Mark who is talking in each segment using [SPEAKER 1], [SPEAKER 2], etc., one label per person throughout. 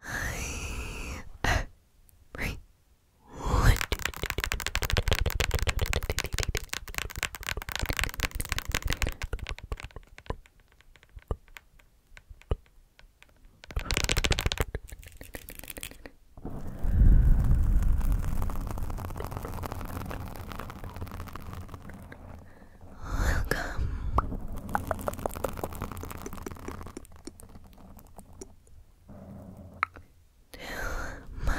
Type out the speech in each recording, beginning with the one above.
[SPEAKER 1] Right. Welcome to my um,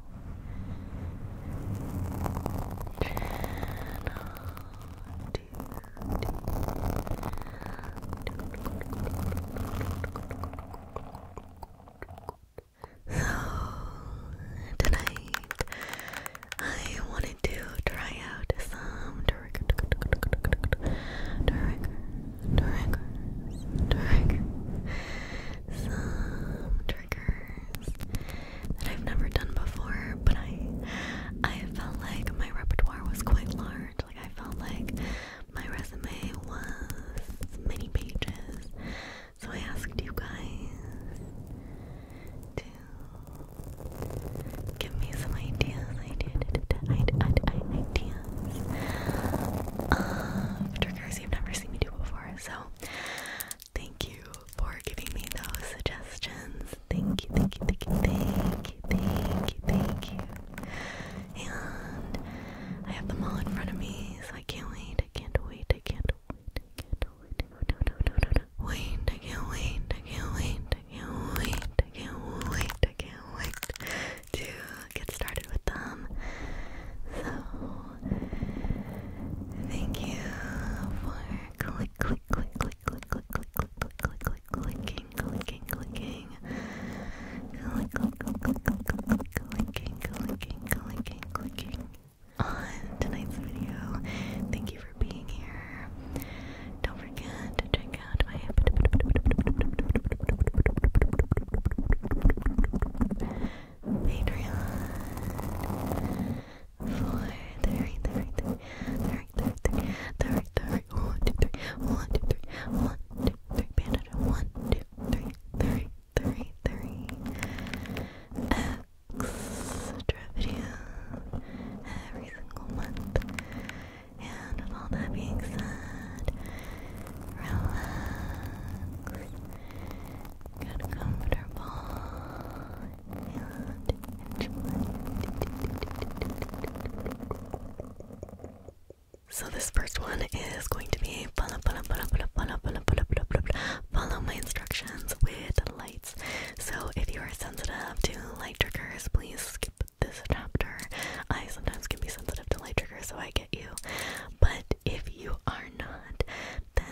[SPEAKER 1] So tonight I wanted to try out some trigger, trigger, triggers, triggers, some triggers, triggers that I've never done before, but I I felt like my repertoire was quite large. Like I felt like my resume was many pages. So I asked you guys to give me some ideas, ideas, ideas of triggers you've never seen me do before. So Thank you for giving me those suggestions. Thank you, thank you, thank you, thank you, thank you, thank you. And I have them all in front of me, so I can't wait, I can't wait, I can't wait, I can't wait. No, no, no, no, no. Wait, I can't wait, I can't wait, I can't wait, I can't wait, I can't wait to get started with them. So Thank you for click, click, click, click, click, click, click, click, click, click, clicking, clicking, clicking, click, click, click, click, click, clicking, clicking, clicking, clicking. On tonight's video, thank you for being here. Don't forget to check out my Patreon for extra videos every single month. And with all that being said, relax so this first one is going to be follow, follow, follow, follow, follow, follow, follow, follow, follow, follow my instructions with lights. So if you are sensitive to light triggers, please skip this chapter. I sometimes can be sensitive to light triggers, so I get you. But if you are not, then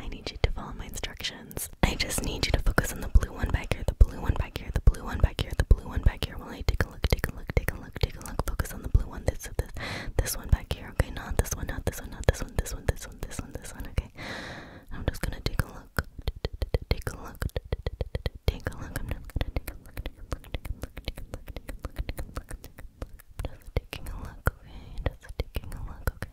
[SPEAKER 1] I need you to follow my instructions. I just need you to focus on the blue one back here, the blue one back here, the blue one back here, the blue one back here. While I take a look, take a look, take a look, take a look. Focus on the blue one. This, this, this one back here. Okay, not this one, not this one, not this one, this one, this one, this one, this one. Okay, I'm just gonna take a look, take a look, take a look. I'm just gonna take a look, take a look, take a look, take a look, take a look, take a look. Just taking a look, okay. Just taking a look, okay.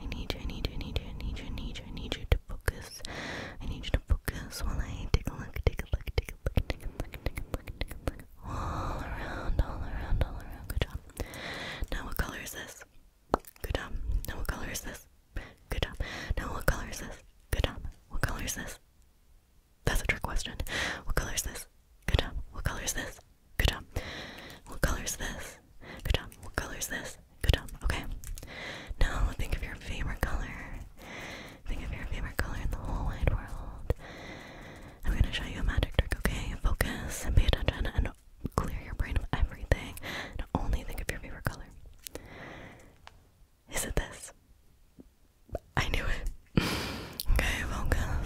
[SPEAKER 1] I need you, I need you, I need you, I need you, I need you, I need you to focus. I need you to focus while I take a look, take a look, take a look, take a look, take a look, take a look. All around, all around, all around. Good job. Now what color is this? Good job. Now what color is this? Good job. Now what color is this? Good job. What color is this? That's a trick question. What color is this? Good job. What color is this? Good job. What color is this? Good job. What color is this? Good job. Okay. Now think of your favorite color. Think of your favorite color in the whole wide world. I'm gonna show you a magic trick, okay? Focus and pay attention and clear your brain of everything and only think of your favorite color. Is it this? I knew it. okay, focus.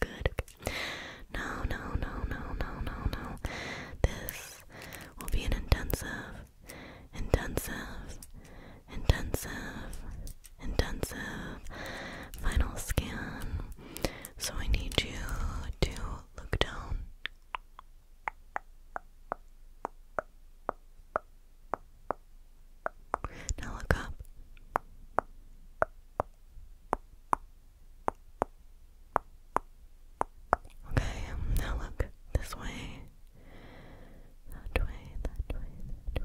[SPEAKER 1] good. No, no, no, no, no, no, no. This will be an intensive, intensive, intensive, intensive final scan. So I need you to look down. Now look up. Okay, now look this way. That way, that way,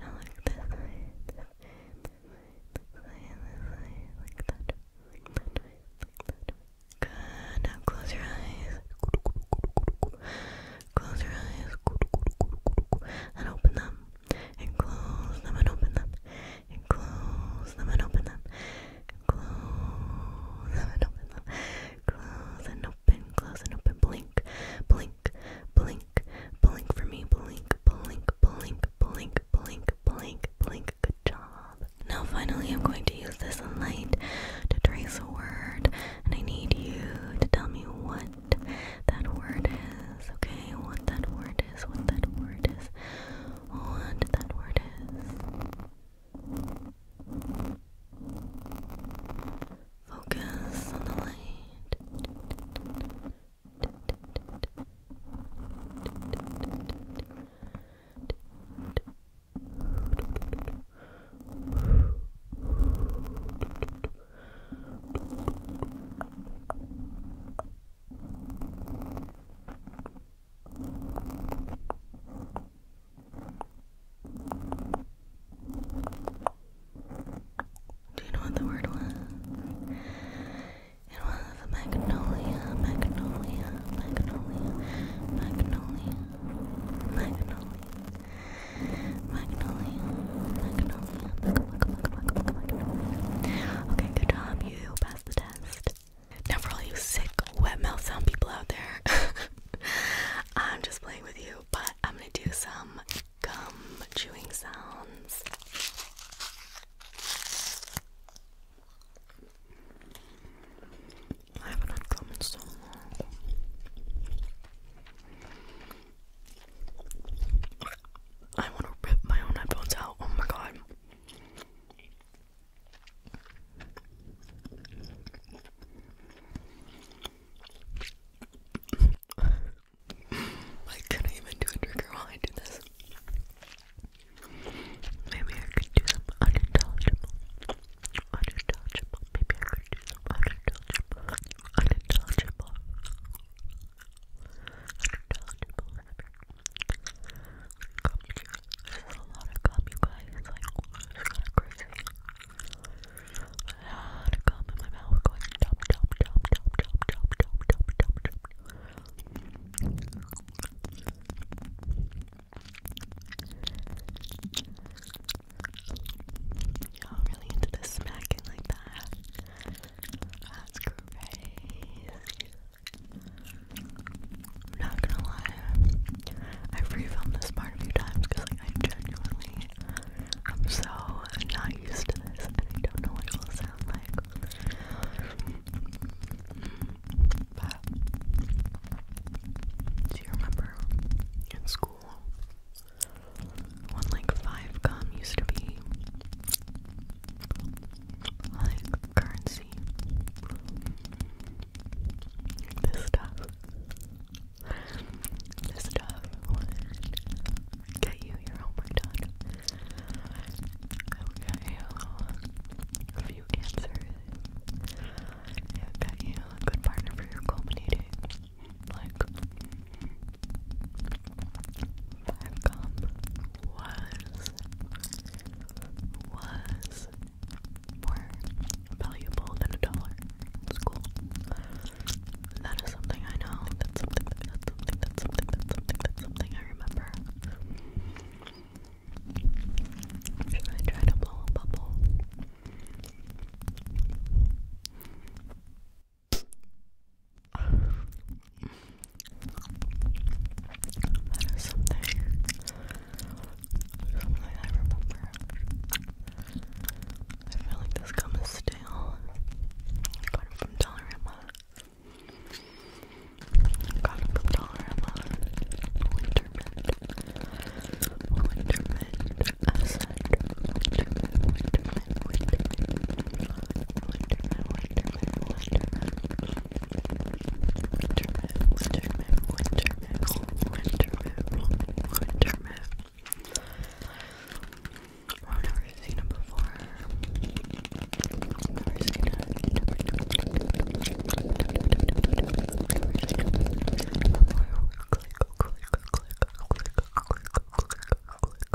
[SPEAKER 1] Now look this way, this way, this way, this way, like that. that way, that way. Good, now close your eyes. Close your eyes. And open them and close them and open them, and close them and open them, close them and open them, close and open, close and open, blink, blink, blink, blink for me, blink, blink, blink, blink, blink, blink, blink. Good job. Now, finally, I'm going to use this light to trace a word, and I need you to tell me what that word is, okay? What that word is, what that word is, what that word is. Focus on the light. Do you know what the word was? It was magnolia, magnolia, magnolia, magnolia, magnolia, magnolia, magnolia. Okay, good job. You passed the test. Now for all you sick, wet mouth sound people out there, I'm just playing with you, but I'm gonna do some gum chewing sounds. I want to rip my own headphones out. Oh my god. I couldn't even do a trigger while I do this. Maybe I could do some unintelligible. Unintelligible. Maybe I could do some unintelligible. Unintelligible gum you a lot of gum, you guys. It's like, kind of crazy. A lot gum in my mouth going dump, dump, really into this smacking like that. That's crazy. I'm not gonna lie. I've refilmed this part a few times because like I genuinely I'm so not used to this and I don't know what it will sound like. But do you remember in school one like five gum used to be like currency. This stuff, this stuff would get you your homework done. It would get you a few answers. It would get you a good partner for your culminating like Beckham was was more valuable than a dollar That is something I know. That's something that's something that's something that's something that's something I remember. Should I try to blow a bubble? That is something, something I remember. I feel like this gum is stale. got it from Dollarama. I got it from Dollarama. Winter mint. Winter I've never seen it before. never seen it. click, click, click, click, click, click, click, click, click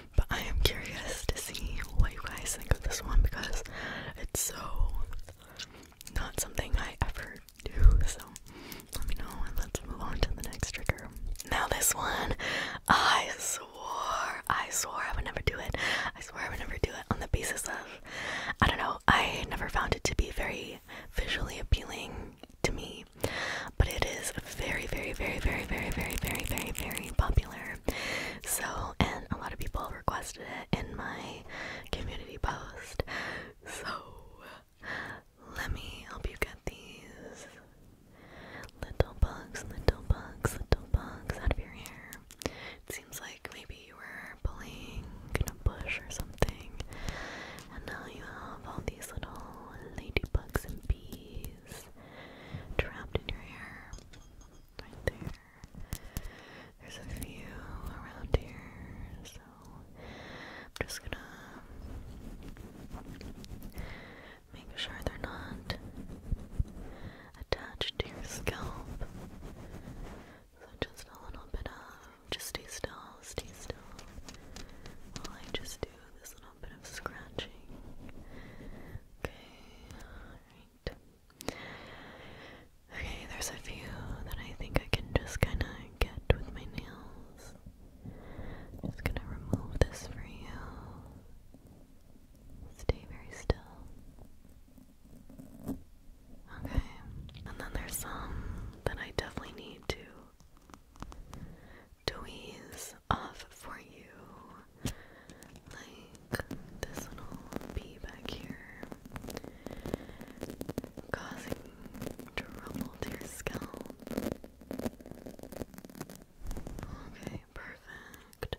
[SPEAKER 1] but I am curious to see what you guys think of this one because it's so not something I ever do. So let me know and let's move on to the next trigger. Now, this one, I swore, I swore I would never do it. I swore I would never do it on the basis of, I don't know, I never found it to be very visually appealing to me me. But it is very, very, very, very, very, very, very, very, very popular. So, and a lot of people requested it in my community post. So, let me help you get these little bugs, little bugs, little bugs out of your hair. It seems like maybe you were pulling in a bush or something, and now you have all these little ladybugs and bees trapped in your hair. Right there. There's a few around here, so I'm just gonna make sure they're not attached to your scalp. So just a little bit of, just stay still, stay still while I just do this little bit scratching. Okay, Okay, there's a few that I think I can just kind of get with my nails. just gonna remove this for you. Stay very still. Okay, and then there's some that I definitely need to to ease off for you. Like this little bee back here causing trouble to your scalp. Okay, perfect.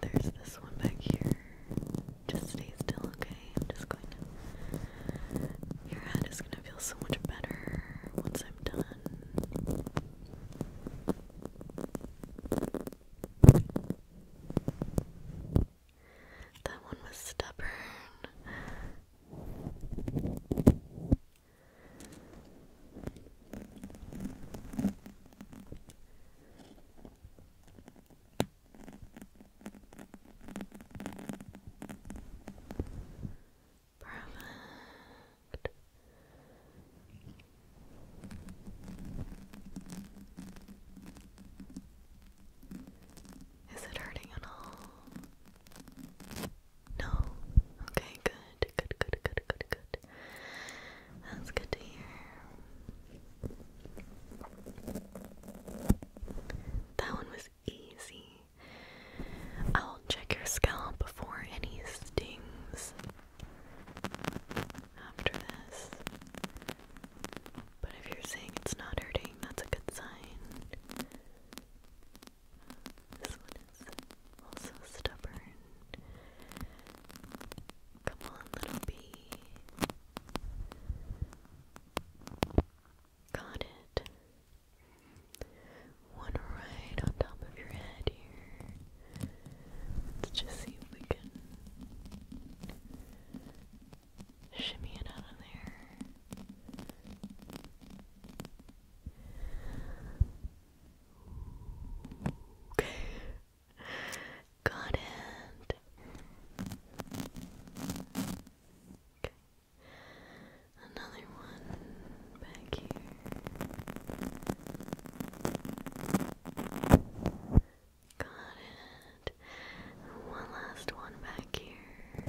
[SPEAKER 1] There's this one back here. Just stay still, okay? I'm just going to. Your head is going to I feel so much better once I'm done. That one was stubborn. Perfect. Is it hurting at all? No. Okay, good. Good, good, good, good, good. That's good to hear. That one was easy. I'll check your scalp before any stings after this. But if you're saying it's not hurting, that's a good sign. This one is also stubborn. Come on, little bee. Got it. One right on top of your head here. Let's just see if we can shimmy it out of there. Okay. Got it. Okay. Another one back here. Got it. One last one back here.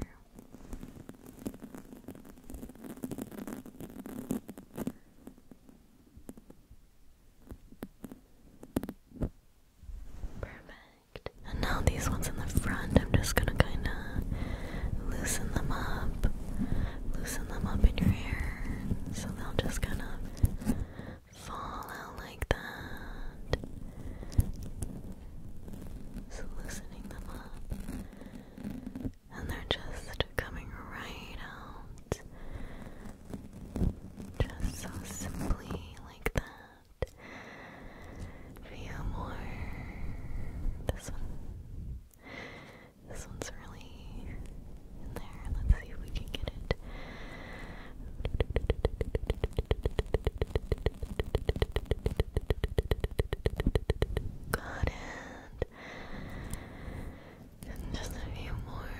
[SPEAKER 1] Perfect. And now these ones in the front, I'm just gonna kinda loosen them up, loosen them up in your hair so they'll just kind of fall out like that. So loosening them up, and they're just coming right out. Just so simply like that few more. This one. This one's really in there. Let's see if we can get it. Got it. just a few more.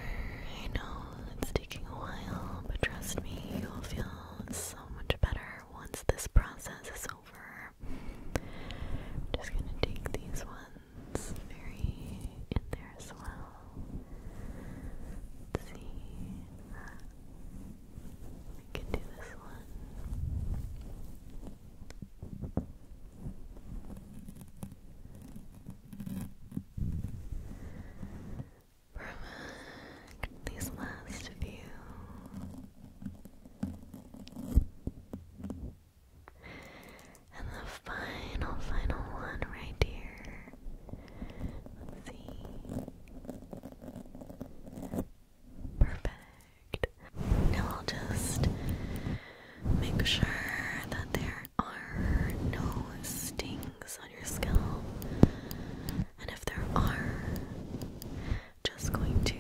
[SPEAKER 1] I know it's taking a while, but trust me, you'll feel so much better once this process is over more. I'm just gonna take these ones very in there as well. see. Uh, can do this one. Perfect. These last few. And the final, final one right here. see. Perfect. Now I'll just make sure that there are no stings on your scalp. And if there are, just going to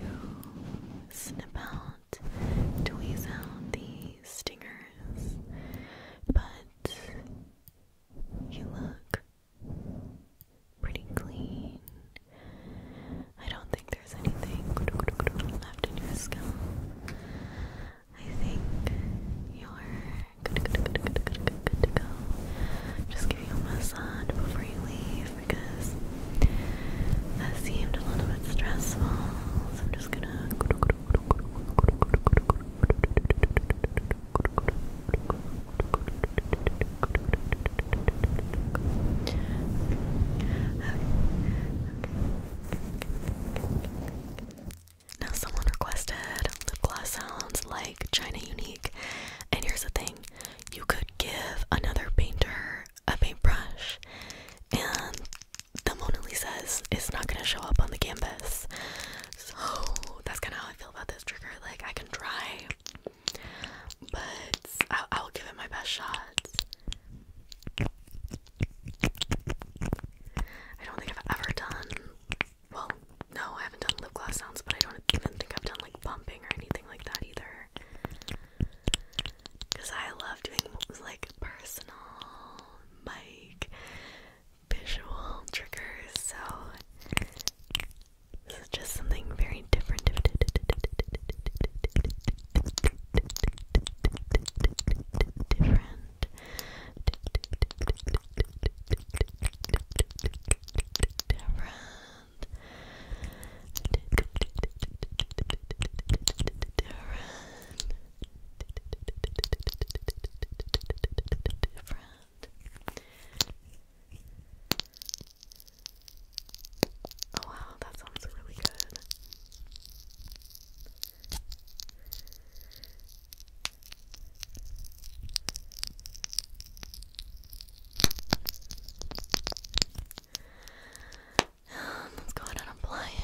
[SPEAKER 1] snip out, tweeze out the stingers, but you look pretty clean. I don't think there's anything left in your scalp. I think you're good, to go. Just give you a massage before you leave because that seemed a little bit stressful. So I'm just gonna. Now, someone requested lip gloss sounds like China Unique, and here's the thing you could give another painter a paintbrush and the Mona Lisa's is not gonna show up on the canvas. So that's kinda how I feel about this trigger. Like I can try but I will give it my best shot. I don't think I've ever done well, no, I haven't done lip gloss sounds, but I don't even think I've done like bumping or anything like that either. Because I love doing like personal, mic, visual triggers, so just something very different. Different. Different. Oh wow, that sounds really good. Um, let's go ahead and apply it.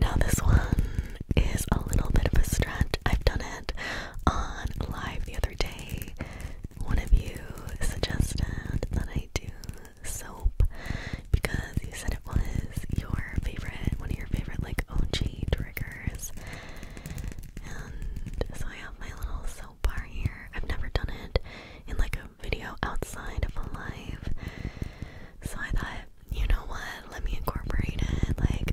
[SPEAKER 1] Now, this one is a little bit of a stretch. I've done it on live the other other day, one of you suggested that I do soap because you said it was your favorite, one of your favorite, like OG triggers. And so I have my little soap bar here. I've never done it in like a video outside of a live. So I thought, you know what, let me incorporate it. Like,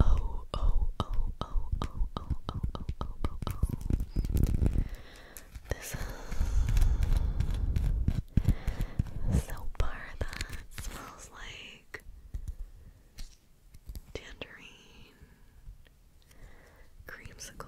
[SPEAKER 1] oh, oh, oh, oh, oh, oh, oh, oh, oh, oh, oh. This is soap bar that smells like tangerine, creamsicle.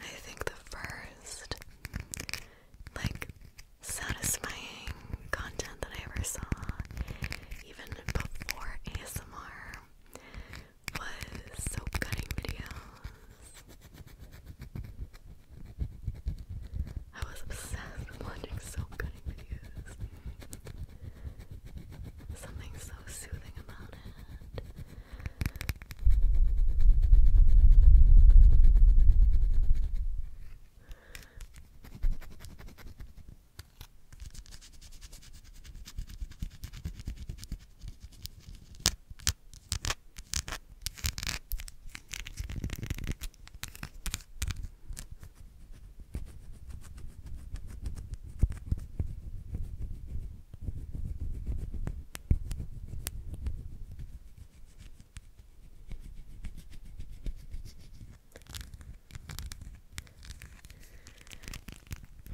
[SPEAKER 1] I think the first like satisfying content that I ever saw, even before ASMR, was soap cutting I was obsessed with watching soap cutting videos. Something so soothing about it.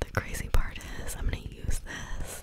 [SPEAKER 1] The crazy part is, I'm going to use this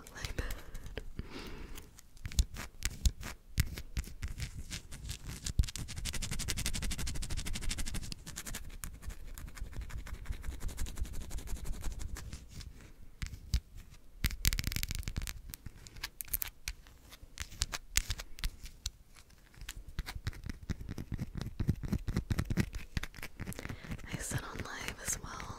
[SPEAKER 1] I said on live as well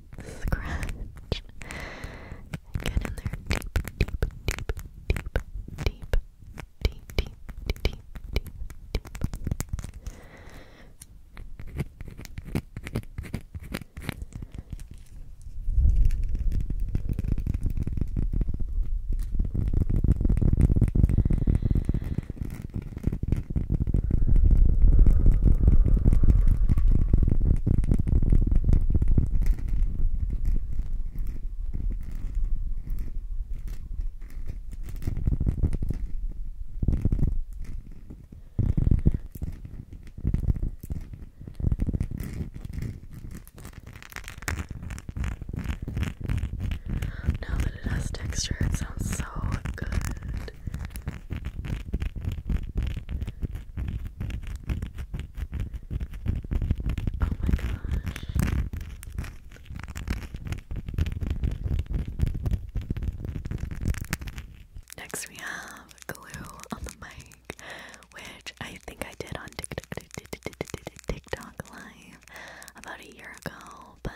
[SPEAKER 1] scratch. Get in there deep, deep, deep, deep, deep, deep, deep, deep, deep, deep. Now that it has texture, it sounds so good. Oh my gosh. Next we have glue on the mic, which I think I did on TikTok live about a year ago, but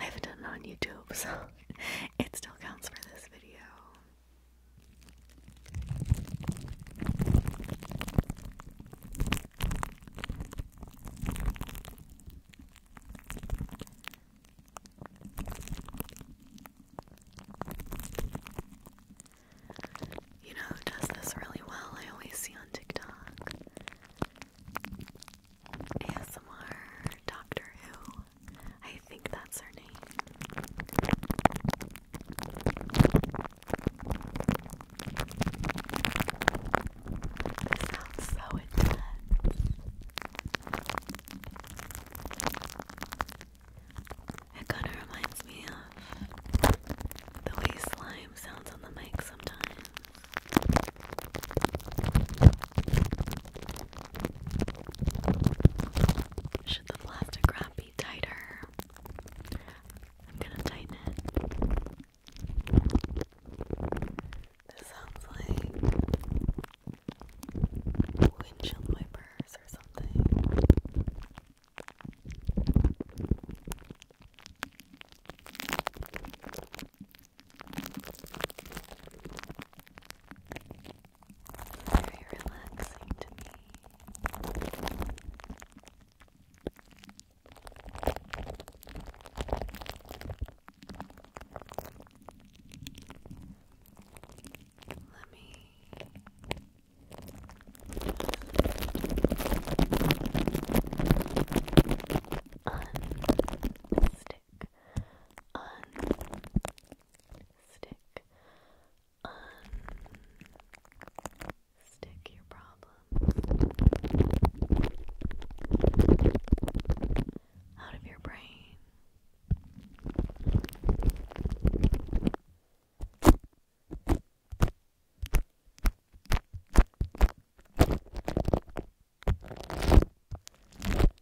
[SPEAKER 1] I haven't done it on YouTube, so it still counts for this video. You know does this really well? I always see on TikTok ASMR Doctor Who I think that's her name. This sounds so intense. It kind of reminds me of the way slime sounds on the mic sometimes should the plastic be tighter? I'm gonna tighten it. This sounds like windshield wipers or something very relaxing to me. Let me unstick, unstick, Unstick your problem out of your brain.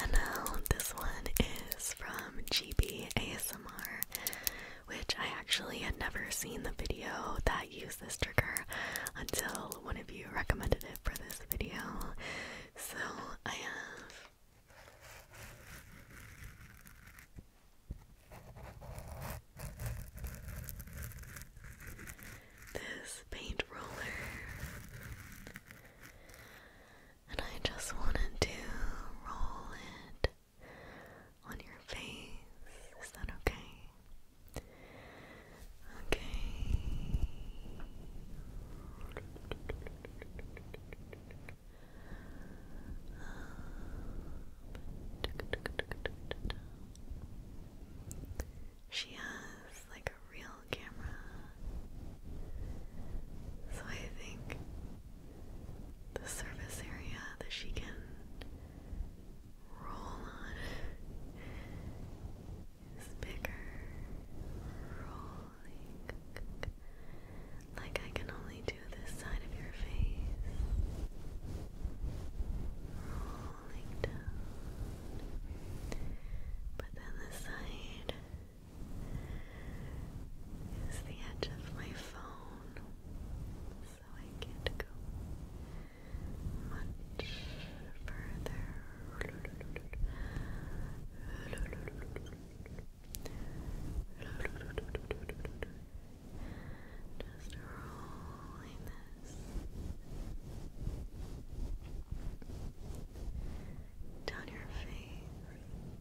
[SPEAKER 1] And now this one is from GB ASMR, which I actually had never seen the video that used this trigger until one of you recommended it for this video. So I have this paint roller, and I just wanted to roll it on your face. Is that okay? Okay. She has like a real camera, so I think the surface area that she can roll on is bigger, rolling. Like I can only do this side of your face, rolling down. But then this side it's the edge of my phone so I can't go much further. Just rolling this down your face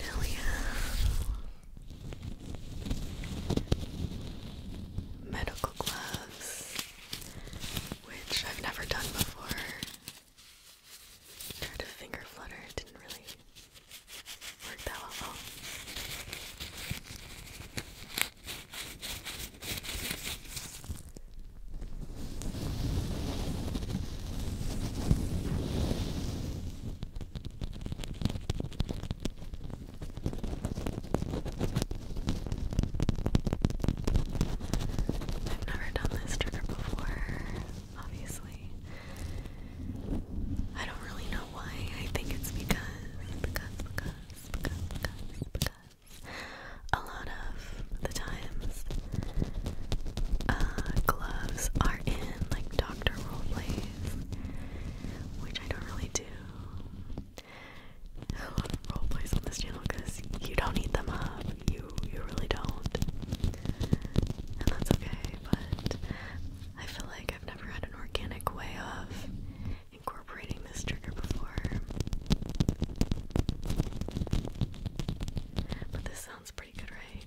[SPEAKER 1] Now we have medical gloves, which I've never done before. Tried to finger flutter, it didn't really work that well. I've never done this trigger before, obviously. I don't really know why. I think it's because, because, because, because, because, because a lot of the times uh, gloves are in like doctor role plays which I don't really do role plays on this channel because you don't eat them up. You you really don't. And that's okay, but I feel like I've never had an organic way of incorporating this trigger before. But this sounds pretty good, right?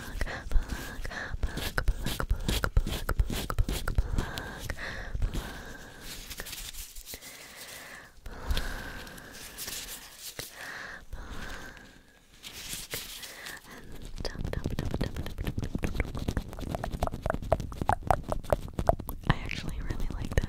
[SPEAKER 1] I actually really like this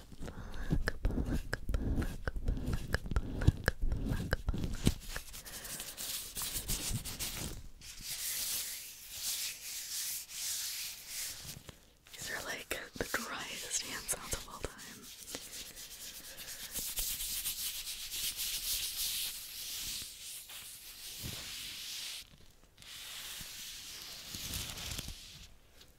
[SPEAKER 1] These are like the driest hand sounds of all time.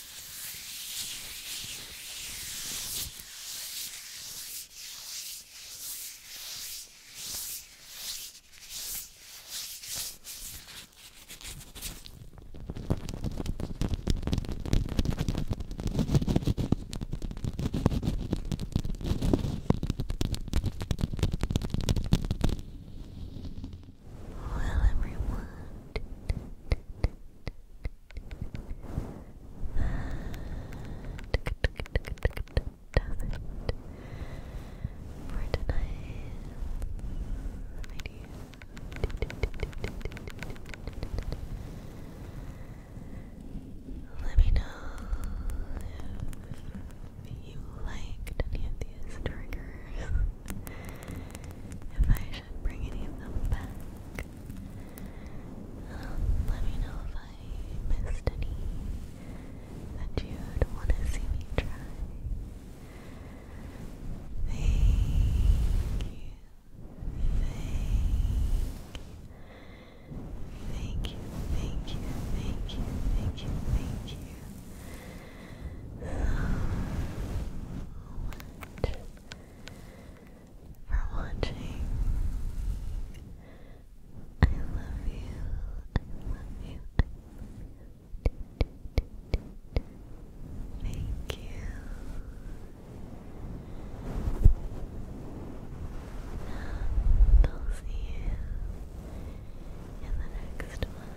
[SPEAKER 1] Well, everyone, does for tonight, Let me know if you liked any of these triggers. bring any of them back. Um, let me know if I missed any that you want to see me try. Thank you. Thank Thank you. Thank you. Thank you. Thank you. Thank for watching. I love you. I love you. I love you. Thank you. I'll see you in the next one.